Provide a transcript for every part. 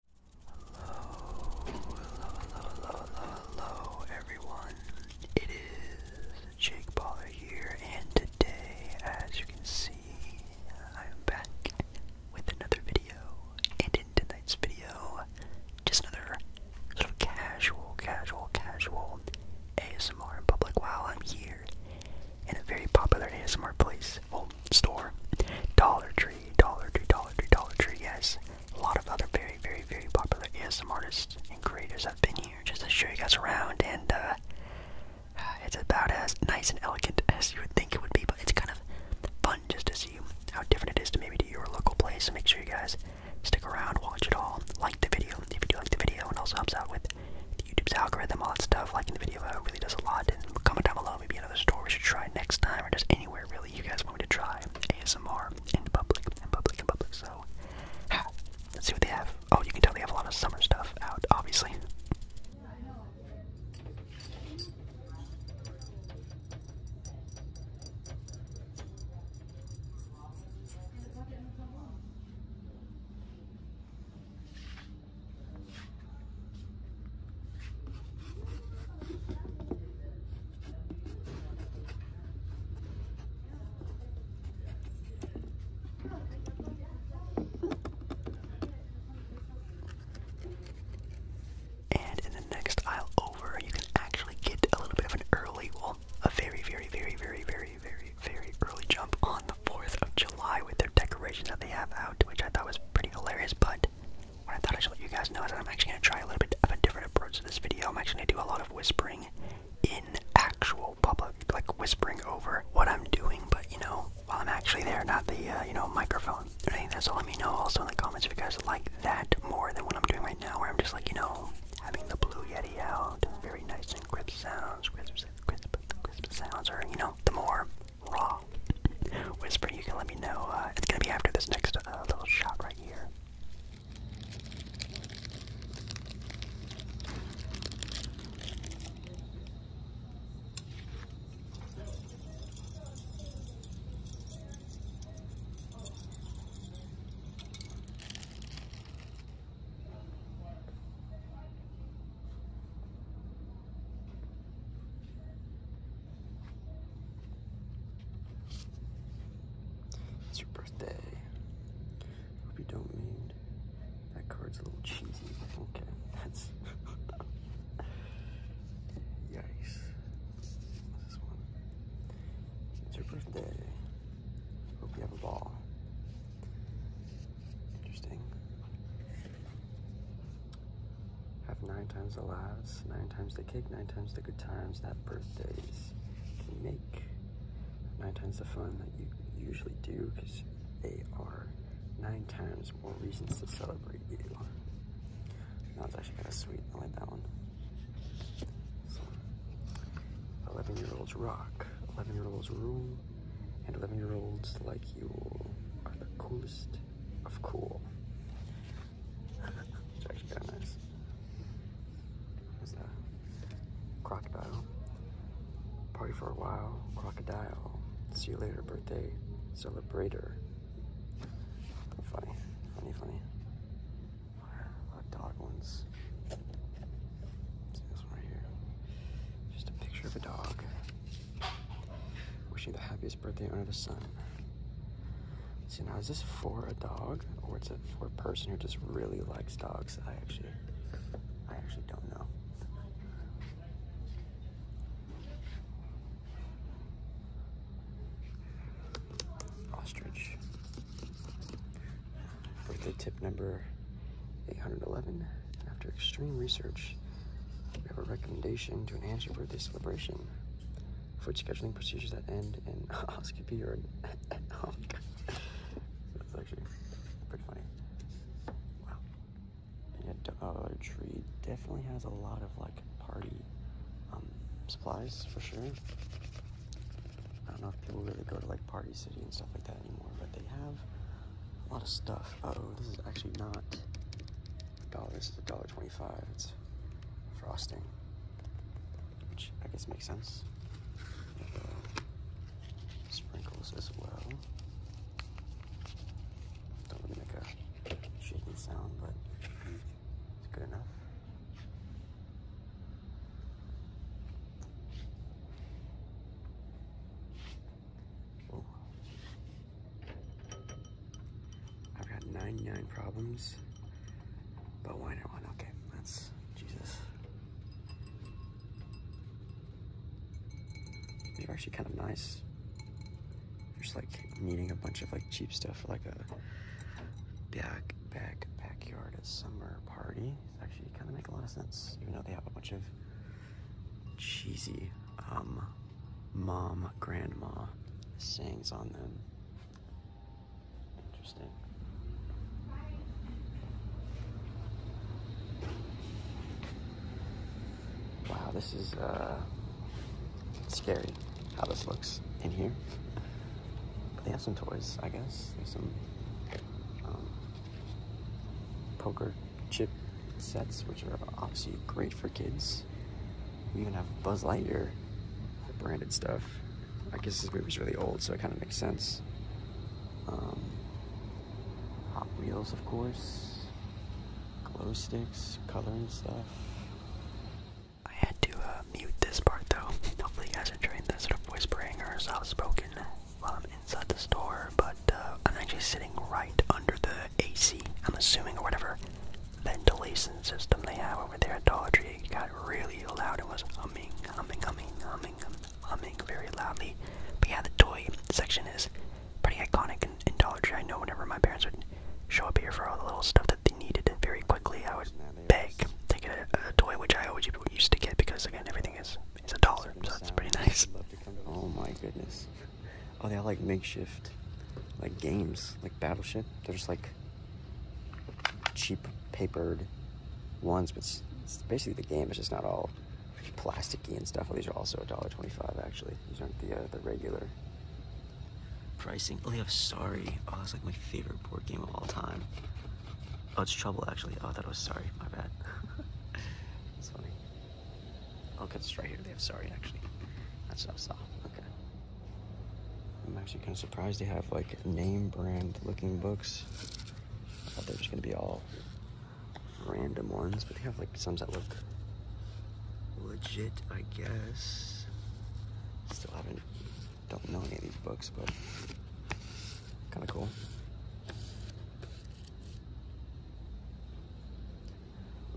Hello, hello, hello, hello, hello, everyone. It is Jake Baller here, and today, as you can see, I'm back with another video. And in tonight's video, just another sort of casual, casual, casual ASMR in public while I'm here in a very popular ASMR place store. Dollar Tree, Dollar Tree, Dollar Tree, Dollar Tree, yes. A lot of other very, very, very popular ASM artists and creators have been here just to show you guys around, and uh, it's about as nice and elegant as you would think it would be, but it's kind of fun just to see how different it is to maybe to your local place. So make sure you guys stick around, watch it all, like the video if you do like the video, and also helps out with YouTube's algorithm, all that stuff, liking the video really does a lot. comment down below maybe another store we should try next time or just anywhere really you guys want me to try ASMR in public, in public, in public. So, let's see what they have. Oh, you can tell they have a lot of summer stuff out, obviously. And in the next aisle over, you can actually get a little bit of an early, a very, very, very, very, very, very, very early jump on the 4th of July with their decorations that they have out, which I thought was pretty hilarious. But what I thought I should let you guys know is that I'm actually going to try a little bit of a different approach to this video. I'm actually going to do a lot of whispering in actual public, like whispering over what I'm doing, but you know, while I'm actually there, not the, uh, you know, microphone. And I think Let me know also in the comments if you guys like that more than what I'm doing right now, where I'm just like, you know, having the Blue Yeti out, very nice and crisp sounds, crisp, crisp, crisp sounds, or, you know, the more Raw. Whisper, you can let me know. Uh, it's gonna be after this next uh, little shot right here. It's your birthday. Hope you don't mind. That card's a little cheesy, okay. That's yikes. What's this one? It's your birthday. Hope you have a ball. Interesting. Have nine times the laughs, nine times the cake, nine times the good times that birthdays make. Nine times the fun that you usually do because they are nine times more reasons to celebrate you. That's actually kind of sweet. I like that one. 11 year olds rock. 11 year olds rule and 11 year olds like you are the coolest of cool. it's actually kind of nice. There's a crocodile. Party for a while, crocodile. See you later, birthday, celebrator. Funny, funny, funny. dog ones. See this right here. Just a picture of a dog. Wishing the happiest birthday under the sun. see now, is this for a dog or is it for a person who just really likes dogs? I actually, I actually don't know. Ostrich. Birthday tip number 811. After extreme research, we have a recommendation to an your birthday celebration. Foot scheduling procedures that end in oscopy or an oh, oh That's actually pretty funny. Wow. And uh, Tree definitely has a lot of like party um, supplies for sure. I don't know if people really go to like Party City and stuff like that anymore, but they have a lot of stuff oh, this is actually not a dollar. This is a dollar twenty-five. It's frosting, which I guess makes sense. Uh, sprinkles as well. Don't really make a shaking sound, but it's good enough. I've got 99 problems, but why not one? Okay, that's Jesus. These are actually kind of nice. you are just like needing a bunch of like cheap stuff for like a back back backyard summer party. It's actually kind of make a lot of sense, even though they have a bunch of cheesy um, mom grandma sayings on them. Interesting. Wow, this is uh, scary how this looks in here. But they have some toys, I guess. There's some um, poker Chip sets, which are obviously great for kids. We even have Buzz Lightyear branded stuff. I guess this movie's really old, so it kind of makes sense. Um, Hot Wheels, of course. Glow sticks, coloring stuff. I had to uh, mute this part though. Hopefully you guys are enjoying the sort of whispering or soft spoken um, inside the store, but uh, I'm actually sitting right under the AC, I'm assuming, or whatever ventilation system they have over there at Dollar Tree. It got really loud and was humming, humming, humming, humming, humming very loudly. But yeah, the toy section is pretty iconic in, in Dollar Tree. I know whenever my parents would show up here for all the little stuff that they needed very quickly, I would beg to a, a toy, which I always used to get because, again, everything is it's a dollar, so that's pretty nice. Oh my goodness. Oh, they all like makeshift, like games, like Battleship. They're just like cheap papered ones, but it's, basically the game. It's just not all plasticky and stuff. these are also a dollar twenty-five. Actually, these aren't the uh, the regular pricing. Oh, they have Sorry. Oh, that's like my favorite board game of all time. Oh, it's trouble actually. Oh, that was sorry. My bad. It's funny. get this right here. They have sorry actually. That's what I saw. Okay. I'm actually kind of surprised they have like name brand looking books. I thought they were just gonna be all random ones, but they have like some that look legit, I guess. Still haven't, don't know any of these books, but Kind of cool.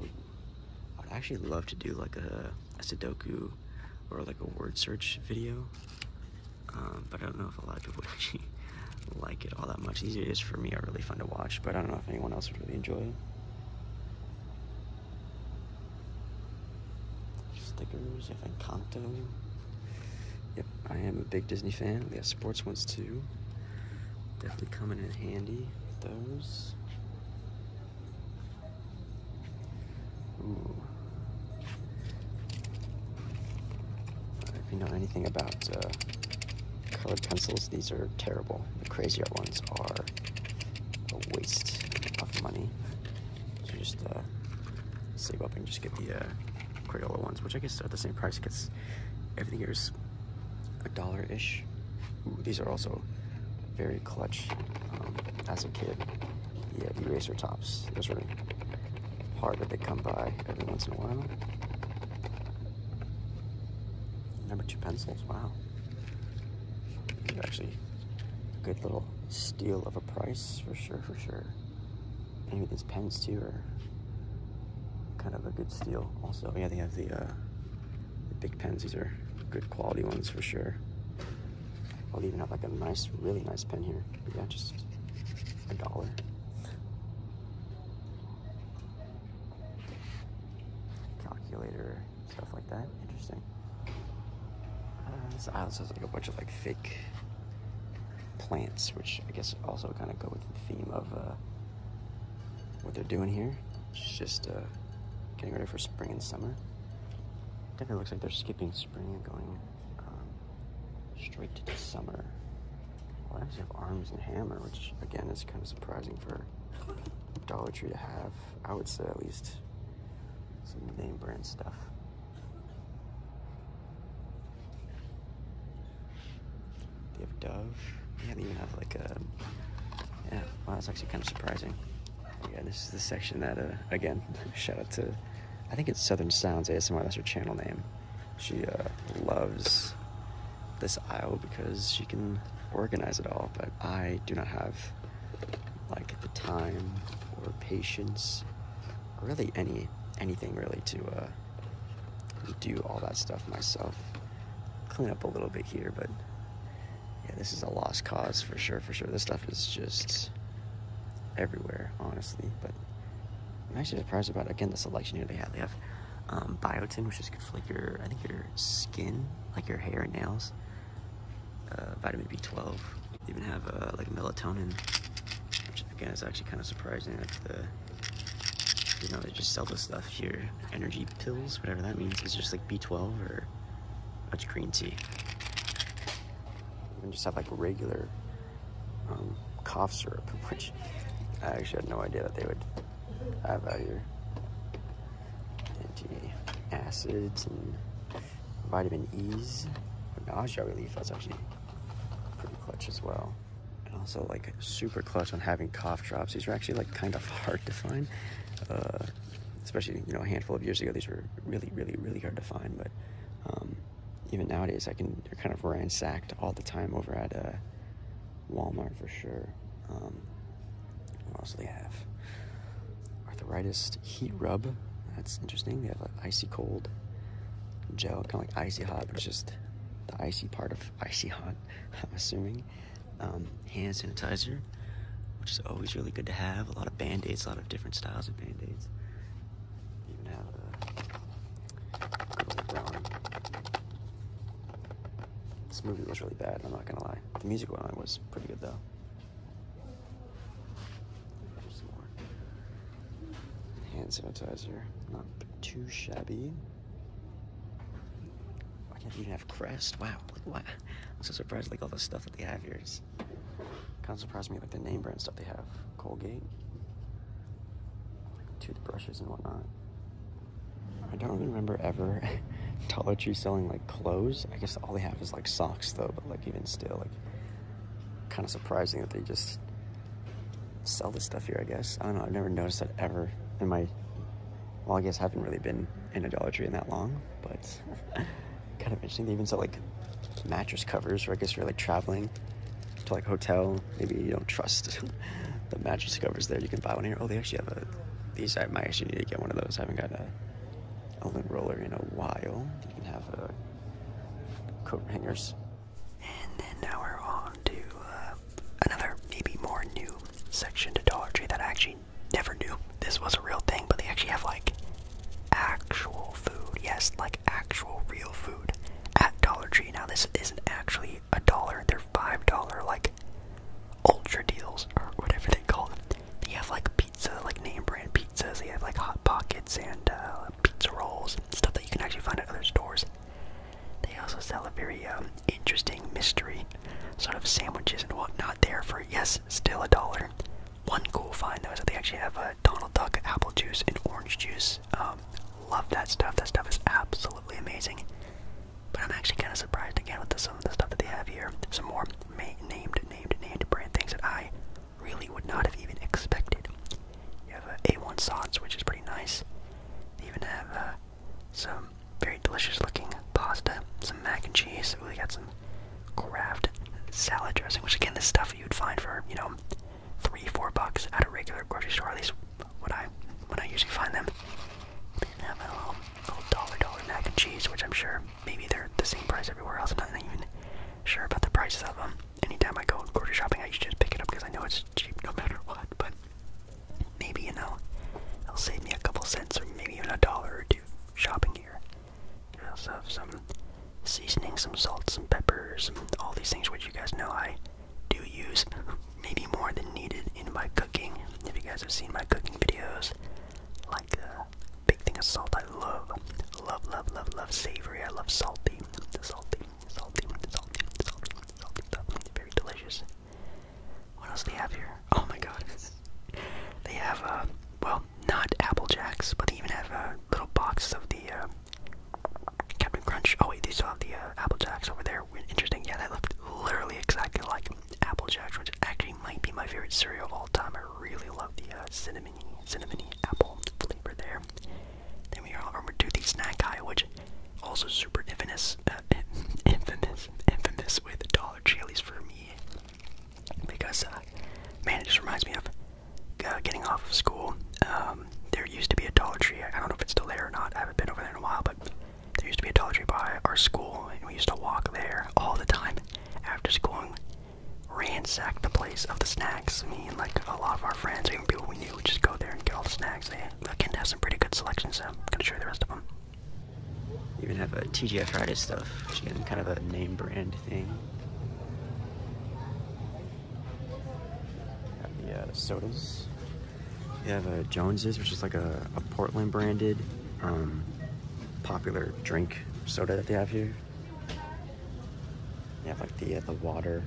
I'd actually love to do like a, Sudoku or like a word search video, um, but I don't know if a lot of people actually like it all that much. These videos for me are really fun to watch, but I don't know if anyone else would really enjoy it. Stickers, can have Encanto. Yep, I am a big Disney fan. We have sports ones too. Definitely coming in handy, those. Uh, if you know anything about uh, colored pencils, these are terrible. The crazier ones are a waste of money. So just uh, save up and just get the uh, Crayola ones, which I guess are the same price. Because everything here is a dollar ish. these are also very clutch um, as a kid. Yeah, eraser tops. Those are hard, that they come by every once in a while. Number two pencils. Wow, they're actually a good little steal of a price for sure, for sure. Maybe these pens too are kind of a good steal. Also, yeah, they have the, uh, the big pens. These are good quality ones for sure. I'll even have like a nice, really nice pen here. yeah, just a dollar. Calculator, stuff like that. Interesting. Uh, this aisle has like a bunch of like fake plants, which I guess also kind of go with the theme of uh, what they're doing here. just uh, getting ready for spring and summer. Definitely looks like they're skipping spring and going um, straight to the summer. Well, I actually have arms and hammer, which again is kind of surprising for Dollar Tree to have. I would say at least some name brand stuff. They have a dove. Yeah, they even have like a. Yeah, wow, that's actually kind of surprising. Yeah, this is the section that, uh, again, shout out to. I think it's Southern Sounds ASMR. That's her channel name. She uh, loves this aisle because she can organize it all, but I do not have like the time or patience really any anything really to uh, do all that stuff myself. Clean up a little bit here, but yeah, this is a lost cause for sure, for sure. This stuff is just everywhere, honestly. But I'm actually surprised about again the selection here they have. They have um, biotin, which is good for like your, I think your skin, like your hair and nails. Uh, vitamin B12, even have uh, like melatonin, which again is actually kind of surprising. Like you know they just sell this stuff here, energy pills, whatever that means. Is just like B12 or much green tea. Even just have like regular um, cough syrup, which I actually had no idea that they would have out here. Anti acids and vitamin E's for nausea relief. That's actually pretty clutch as well. And also like super clutch on having cough drops. These are actually like kind of hard to find. Uh, especially, you know, a handful of years ago, these were really, really, really hard to find. But um, even nowadays, I can, they're kind of ransacked all the time over at uh, Walmart for sure. Um, what else do they have? arthritis heat rub. That's interesting. They have like icy cold gel, kind of like icy hot, but it's just the icy part of icy hot, I'm assuming. Um, hand sanitizer, which is always really good to have. A lot of band aids, a lot of different styles of band aids. Even have uh, a good brown. This movie was really bad, I'm not gonna lie. The music one was pretty good though hand sanitizer, not too shabby. Why can't you even have Crest? Wow, like what? I'm so surprised. Like all the stuff that they have here is kind of surprised me. Like the name brand stuff they have, Colgate, toothbrushes and whatnot. I don't remember ever Dollar selling like clothes. I guess all they have is like socks though, but like even still, like Kind of surprising that they just sell this stuff here, I guess. I don't know, I've never noticed that ever in my, well, I guess I haven't really been in a Adult Tree in that long, but kind of interesting. They even sell like mattress covers, Where I guess you're like traveling to like hotel, maybe you don't trust the mattress covers there, you can buy one here. Oh, they actually have a, these, I might actually need to get one of those. I haven't got a a lint roller in a while. You can have uh, coat hangers. And then now we're on to uh, another, maybe more new section to Dollar Tree that I actually never knew this was a real thing, but they actually have like actual food. Yes, like actual real food at Dollar Tree. Now, this isn't actually a dollar, they're $5 like ultra deals or whatever they call them. They have like pizza, like name brand pizzas. They have like hot pockets and uh, pizza rolls, stuff that you can actually find at other stores. They also sell a very um, interesting mystery sort of sandwiches and whatnot there for yes, still a dollar. One cool find though is that they actually have a uh, Donald Duck apple juice and orange juice. Um, love that stuff. That stuff is absolutely amazing. But I'm actually kind of surprised again with the, some of the stuff that they have here. Some more named named and brand things that I really would not have even expected. You have uh, A1 sauce, which is pretty nice. They even have uh, some very delicious looking pasta, some mac and cheese. Ooh, they got some craft salad dressing, which again, this stuff you'd find for, you know, three, four bucks at a regular grocery store, at least what I when I usually find them. They have a little dollar dollar mac and cheese, which I'm sure maybe they're the same price everywhere else. I'm not even sure about the prices of them. Anytime I go grocery shopping, I just pick it up because I know it's cheap no matter what. But maybe you know, it'll save me a couple cents or maybe even a dollar or two shopping here. I also have some seasoning, some salt, some peppers, all these things which you guys know I do use maybe more than needed in my cooking. If you guys have seen my cooking videos, like uh, Big thing of salt I love. Love, love, love, love savory. I love salty. Salty, salty, salty, salty, salty stuff. Very delicious. What else do they have here? Oh my god. They have, uh, well, not Apple Jacks, but they even have a uh, little box of the, uh, Captain Crunch. Oh wait, they still have the uh, Apple Jacks over there. Interesting. Yeah, that looked literally exactly like Apple Jacks, which actually might be my favorite cereal of all time. I really love the uh, cinnamony, cinnamony apple flavor there. Then we have our Meduthi Snack Eye, which also super infamous, uh, infamous, infamous with Dollar Chilies for me. Because, uh, man, it just reminds me of uh, getting off of school. Um, there used to be a Dollar Tree. I don't know if it's still there or not. I haven't been over there in a while, but there used to be a Dollar Tree by our school, and we used to walk there all the time after school ransacked the place of the snacks. Me and like a lot of our friends, even people we knew, would just go there and get all the snacks. They again have some pretty good selections. So I'm gonna show you the rest of them. They even have a TGI Friday stuff, which is kind of a name brand thing. Have the uh, sodas. You have a uh, Jones's, which is like a Portland branded um, popular drink soda that they have here. They have like the uh, the water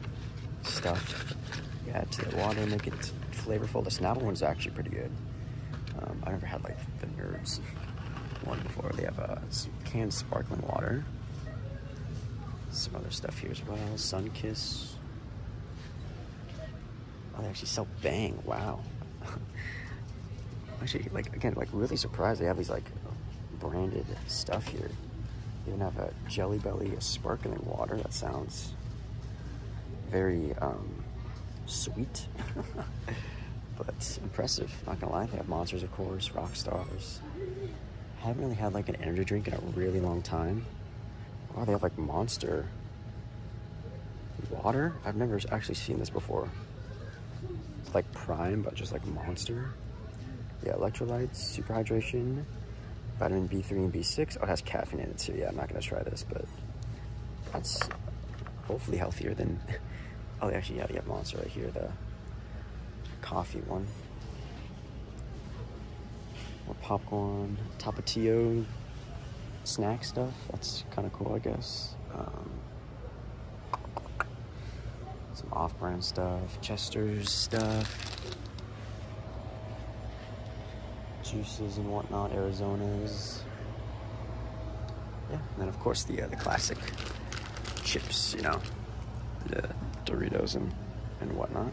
stuff. You add to the water, make it flavorful. The Snapple one's actually pretty good. Um, I never had like the Nerds one before. They have a uh, canned sparkling water. Some other stuff here as well. Sun Kiss. Oh, they actually sell Bang. Wow. actually, like, again, like, really surprised they have these, like, branded stuff here. They even have a Jelly Belly, a sparkling water. That sounds very um, sweet. but impressive. Not gonna lie, they have monsters, of course, rock stars. I haven't really had like an energy drink in a really long time. Oh, they have like monster Water? I've never actually seen this before. It's like Prime, but just like Monster. Yeah, electrolytes, super hydration, vitamin B3 and B6. Oh, it has caffeine in it too. Yeah, I'm not going to try this, but that's hopefully healthier than... oh, actually, yeah, yeah, Monster right here, the coffee one. More popcorn, tapatio, snack stuff. That's kind of cool, I guess. Um, some off-brand stuff, Chester's stuff, juices and whatnot, Arizona's. Yeah, and then of course the uh, the classic chips, you know, the Doritos and and whatnot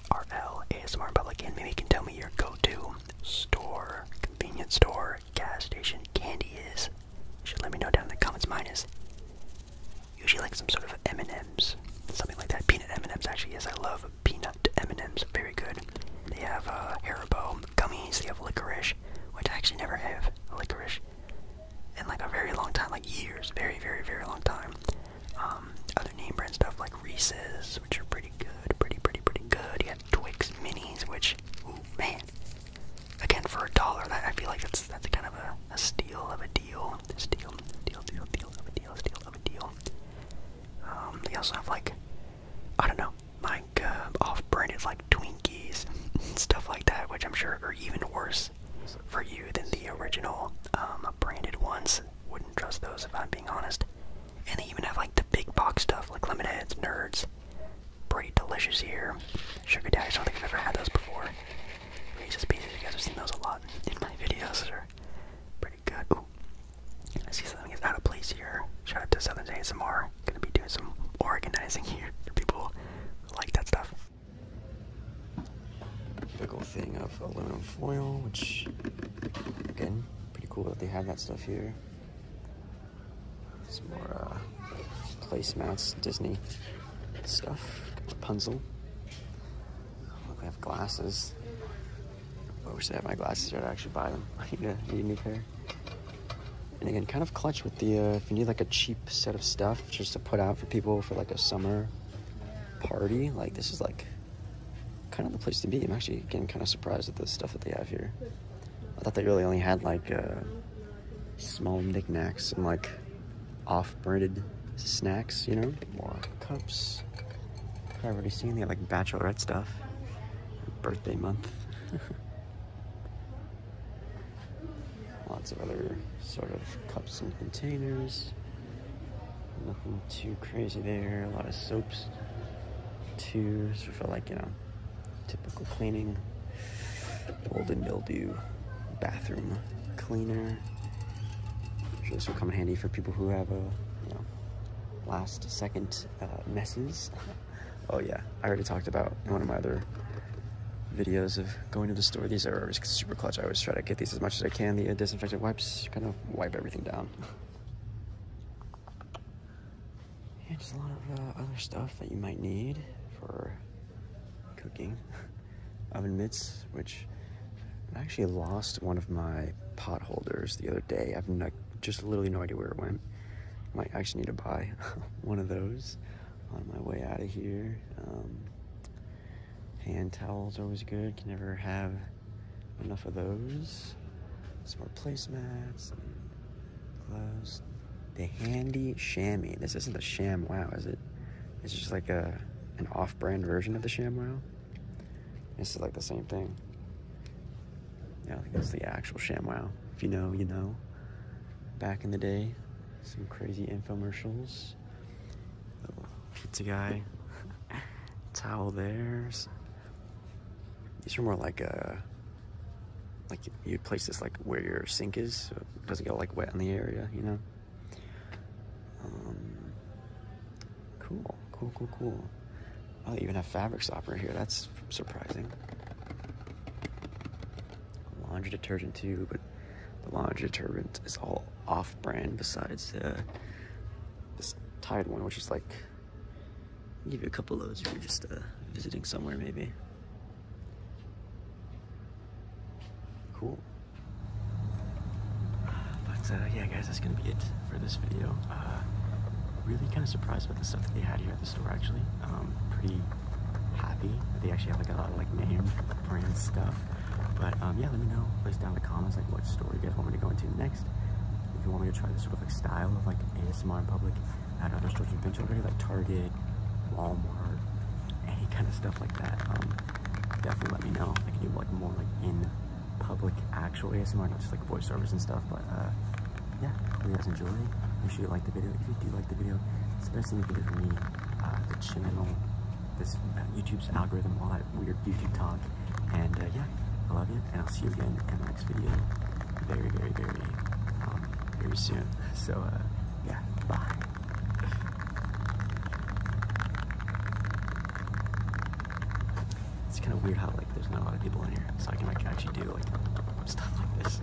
RL ASMR Public, and maybe you can tell me your go-to store, convenience store, gas station candy is. should let me know down in the comments. Mine is usually like some sort of M&M's, something like that. Peanut M&M's actually. Yes, I love peanut M&M's. Very good. They have uh, Haribo gummies. They have licorice, which I actually never have licorice in like a very long time, like years, very, very, very long time. Um, other name brand stuff like Reese's, which are pretty good, pretty, pretty, pretty good. You have Twix Minis, which, ooh, man. Again, for a dollar, that I feel like that's that's kind of a, a steal of a deal. Steal, deal, deal, deal of deal, steal of a deal. Um, they also have like, I don't know, like uh, off-branded like Twinkies stuff like that, which I'm sure are even worse for you than the original um, branded ones. Wouldn't trust those if I'm being honest. And they even have like the big box stuff like Lemonheads, Nerds. Pretty delicious here. Sugar Daddies, I don't think I've ever had those before. Reese's Pieces, you guys have seen those a lot in my videos. pretty good. I see something is out of place here. Shout out to Southern ASMR. Gonna be doing some organizing here people like that stuff big thing of aluminum foil, which again, pretty cool that they have that stuff here. Some more uh, placemats, Disney stuff, Rapunzel. Look, I have glasses. Where should I have my glasses here to actually buy them. I need a, need a new pair. And again, kind of clutch with the, uh, if you need like a cheap set of stuff, just to put out for people for like a summer party. Like this is like kind of the place to be. I'm actually getting kind of surprised at the stuff that they have here. I thought they really only had like uh, small knickknacks and like off-branded snacks, you know? More cups. I've already seen the like bachelorette stuff. Birthday month. Lots of other sort of cups and containers. Nothing too crazy there. A lot of soaps, too, so for like, you know, typical cleaning. Mold and mildew, bathroom cleaner. i this will come in handy for people who have a, you know, last second uh, messes. oh yeah, I already talked about one of my other videos of going to the store. These are super clutch. I always try to get these as much as I can. The disinfectant wipes kind of wipe everything down. and just a lot of uh, other stuff that you might need for cooking. Oven mitts, which I actually lost one of my potholders the other day. I've just literally no idea where it went. Might actually need to buy one of those on my way out of here. Um, Hand towels always good. Can never have enough of those. Some more placemats and gloves. The handy chamois. This isn't the sham is it? It's just like a an off-brand version of the sham This is like the same thing. I don't think that's the actual sham If you know, you know. Back in the day, some crazy infomercials little pizza guy. Towel there's. These are more like a uh, like you place this like where your sink is so it doesn't get like wet in the area, you know. Um, cool, cool, cool, cool. Oh, they even have fabric stopper here. That's surprising laundry detergent too, but the laundry detergent is all off-brand besides uh, this Tide one, which is like, give you a couple loads if you're just uh, visiting somewhere maybe. Cool. But uh, yeah guys, that's gonna be it for this video. really kind of surprised by the stuff that they had here at the store actually. Um, pretty happy they actually have like a lot of like name brand stuff. But um, yeah, let me know, place down in the comments like what store you guys want me to go into next. If you want me to try this sort of like style of like ASMR in public at other stores you've been to already, like Target, Walmart, any kind of stuff like that, um, definitely let me know. I can do like more like in public actual ASMR, not just like voiceovers and stuff. But uh, yeah, hope you guys enjoy. Make sure you like the video. If you do like the video, especially if you do for me, the channel, this uh, YouTube's algorithm, all that weird YouTube talk. And uh, yeah, I love you, and I'll see you again in the next video very, very, very, um, very soon. So uh, yeah, bye. It's kind of weird how like there's not a lot of people in here, so I can actually do like stuff like this.